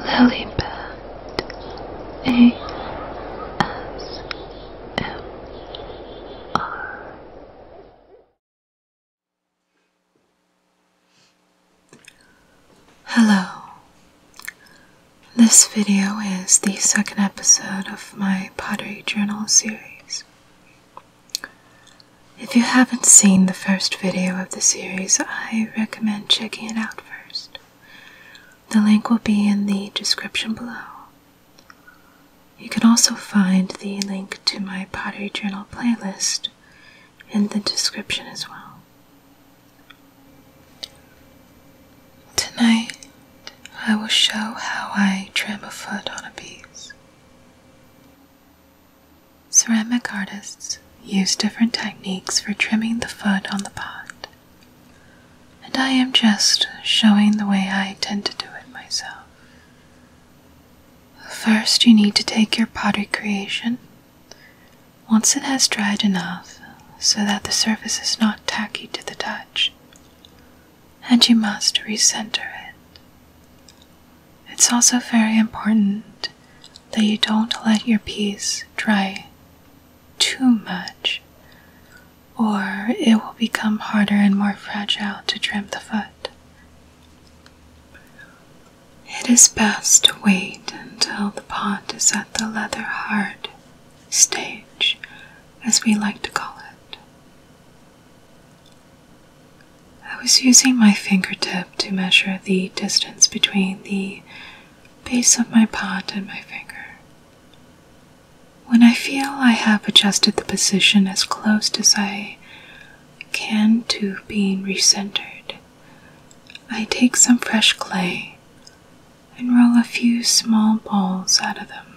Lilybet ASMR Hello. This video is the second episode of my pottery journal series. If you haven't seen the first video of the series, I recommend checking it out first. The link will be in the description below. You can also find the link to my Pottery Journal playlist in the description as well. Tonight, I will show how I trim a foot on a piece. Ceramic artists use different techniques for trimming the foot on the pot, and I am just showing the way I tend to do it myself. First, you need to take your pottery creation. Once it has dried enough so that the surface is not tacky to the touch, and you must recenter it. It's also very important that you don't let your piece dry too much, or it will become harder and more fragile to trim the foot. It is best to wait until the pot is at the leather hard stage, as we like to call it. I was using my fingertip to measure the distance between the base of my pot and my finger. When I feel I have adjusted the position as close as I can to being recentered, I take some fresh clay and roll a few small balls out of them.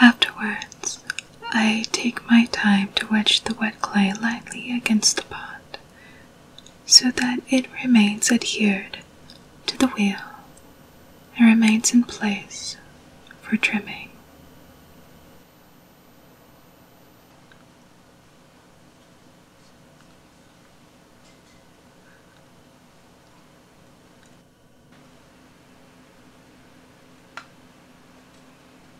Afterwards, I take my time to wedge the wet clay lightly against the pot so that it remains adhered to the wheel and remains in place for trimming.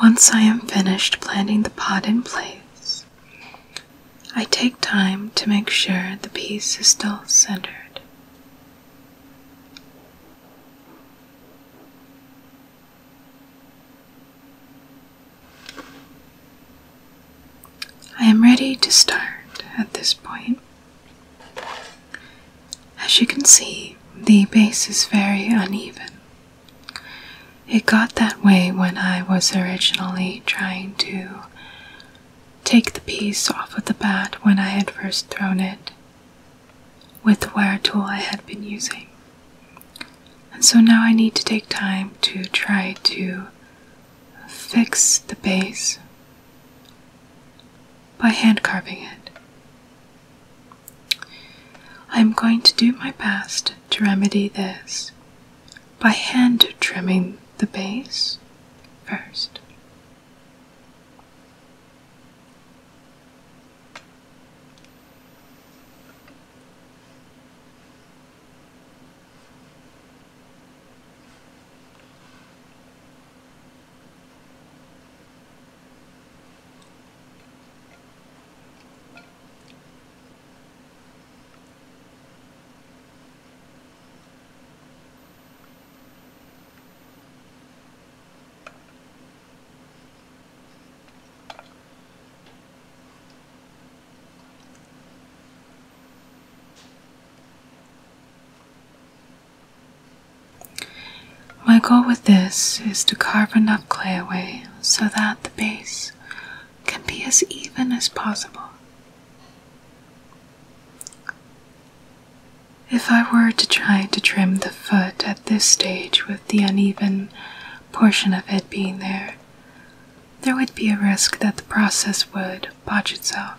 Once I am finished planting the pot in place, I take time to make sure the piece is still centered. I am ready to start at this point. As you can see, the base is very uneven, it got that way when I was originally trying to take the piece off of the bat when I had first thrown it with the wire tool I had been using. And so now I need to take time to try to fix the base by hand carving it. I'm going to do my best to remedy this by hand trimming the base first. My goal with this is to carve enough clay away so that the base can be as even as possible. If I were to try to trim the foot at this stage with the uneven portion of it being there, there would be a risk that the process would botch itself.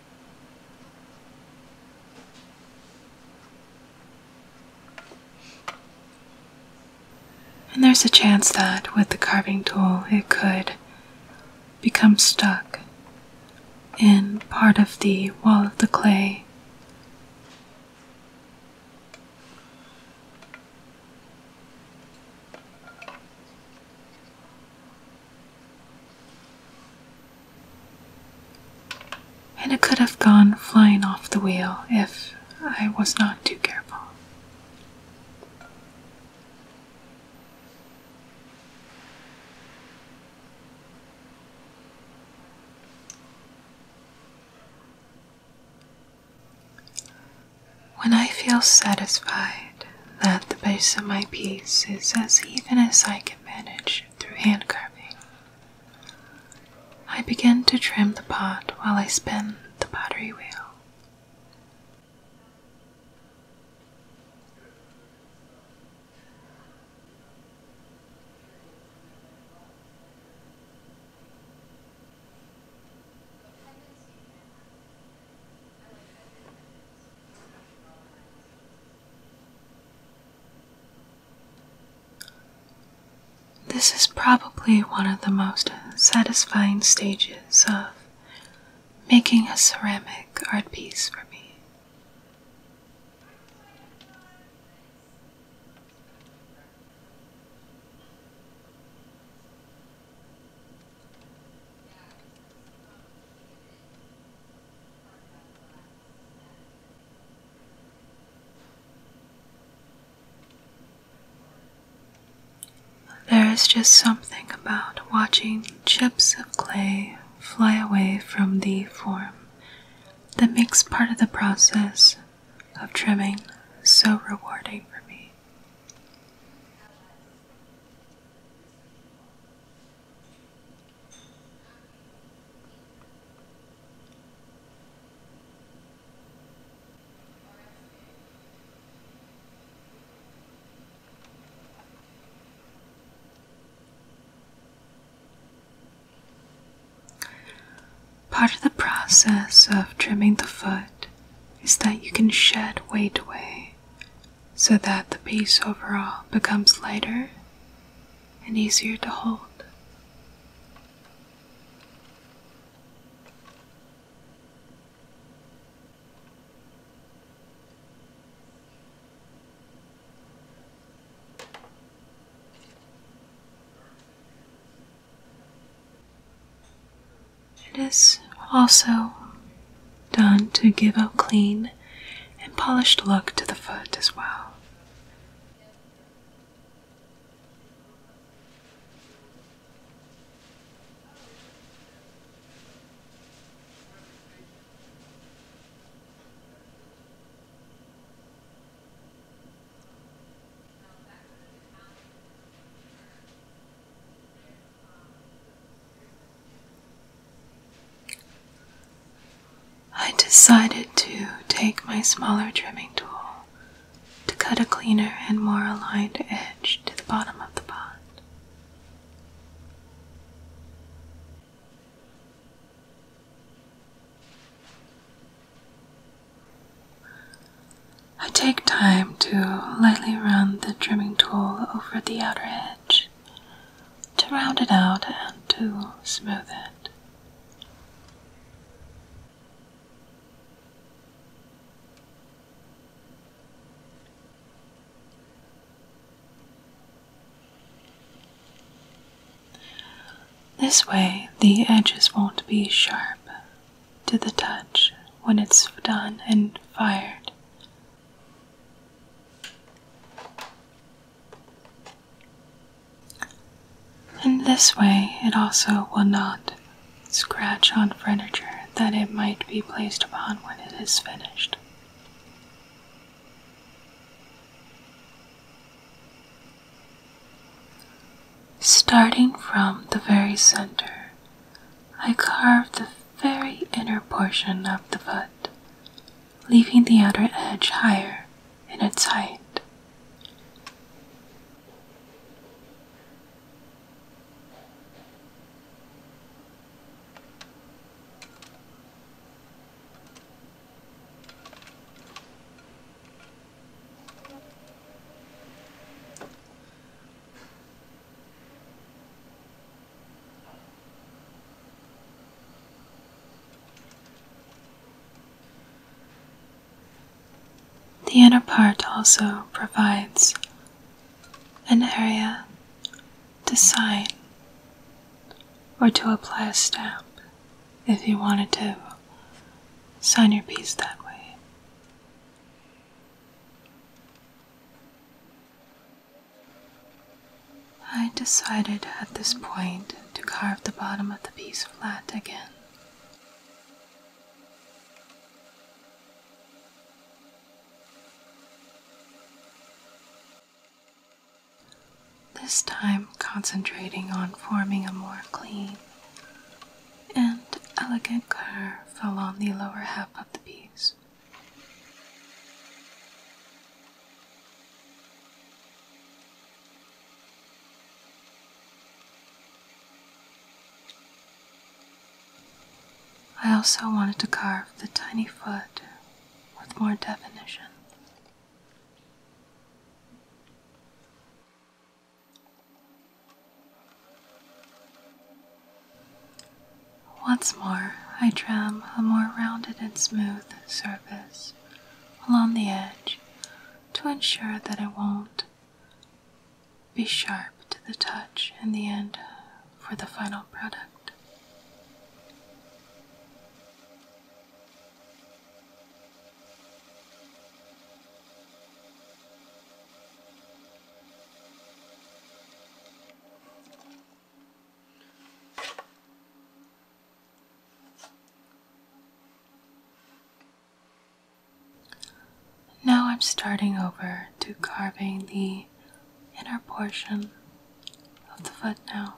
And there's a chance that with the carving tool it could become stuck in part of the wall of the clay. And it could have gone flying off the wheel if I was not too careful. When I feel satisfied that the base of my piece is as even as I can manage through hand carving. I begin to trim the pot while I spin the pottery wheel. This is probably one of the most satisfying stages of making a ceramic art piece for me. There is just something about watching chips of clay fly away from the form that makes part of the process of trimming so rewarding for me. Part of the process of trimming the foot is that you can shed weight away so that the piece overall becomes lighter and easier to hold. It is also done to give a clean and polished look to the foot as well. I decided to take my smaller trimming tool to cut a cleaner and more aligned edge to the bottom of the pot. I take time to lightly run the trimming tool over the outer edge to round it out and to smooth it. This way, the edges won't be sharp to the touch when it's done and fired in this way, it also will not scratch on furniture that it might be placed upon when it is finished. Starting from the very center, I carved the very inner portion of the foot leaving the outer edge higher in its height. The inner part also provides an area to sign or to apply a stamp if you wanted to sign your piece that way. I decided at this point to carve the bottom of the piece flat again. This time concentrating on forming a more clean and elegant curve on the lower half of the piece. I also wanted to carve the tiny foot with more definition. Once more, I tram a more rounded and smooth the surface along the edge to ensure that it won't be sharp to the touch in the end for the final product. Now I'm starting over to carving the inner portion of the foot now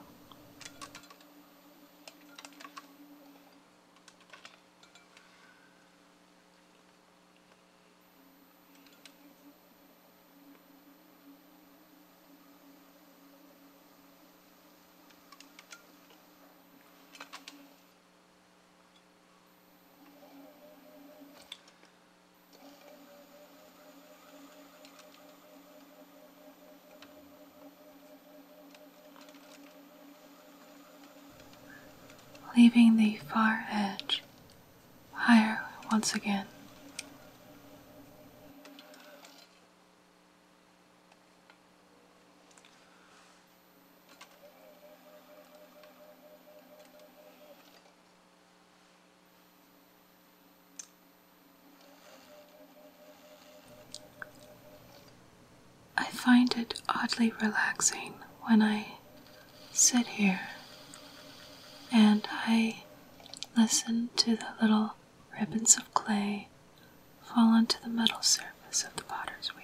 leaving the far edge higher once again. I find it oddly relaxing when I sit here and I listen to the little ribbons of clay fall onto the metal surface of the potter's wheel.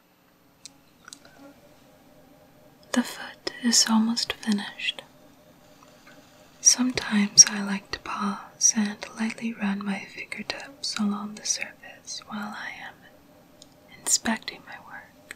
The foot is almost finished. Sometimes I like to pause and lightly run my fingertips along the surface while I am inspecting my work.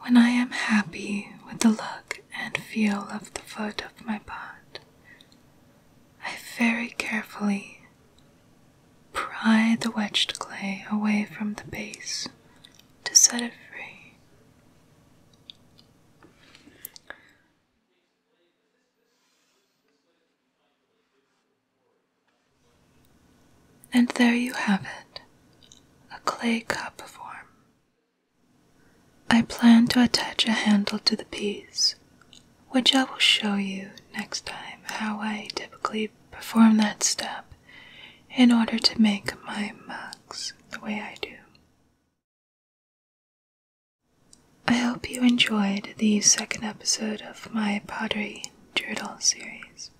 When I am happy with the look and feel of the foot of my pot, I very carefully pry the wedged clay away from the base to set it free. And there you have it, a clay cup form. I plan to attach a handle to the piece, which I will show you next time how I typically perform that step in order to make my mugs the way I do. I hope you enjoyed the second episode of my pottery doodle series,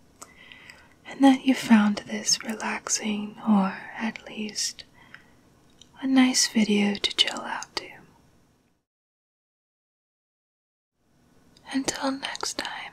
and that you found this relaxing or at least a nice video to chill out to. Until next time,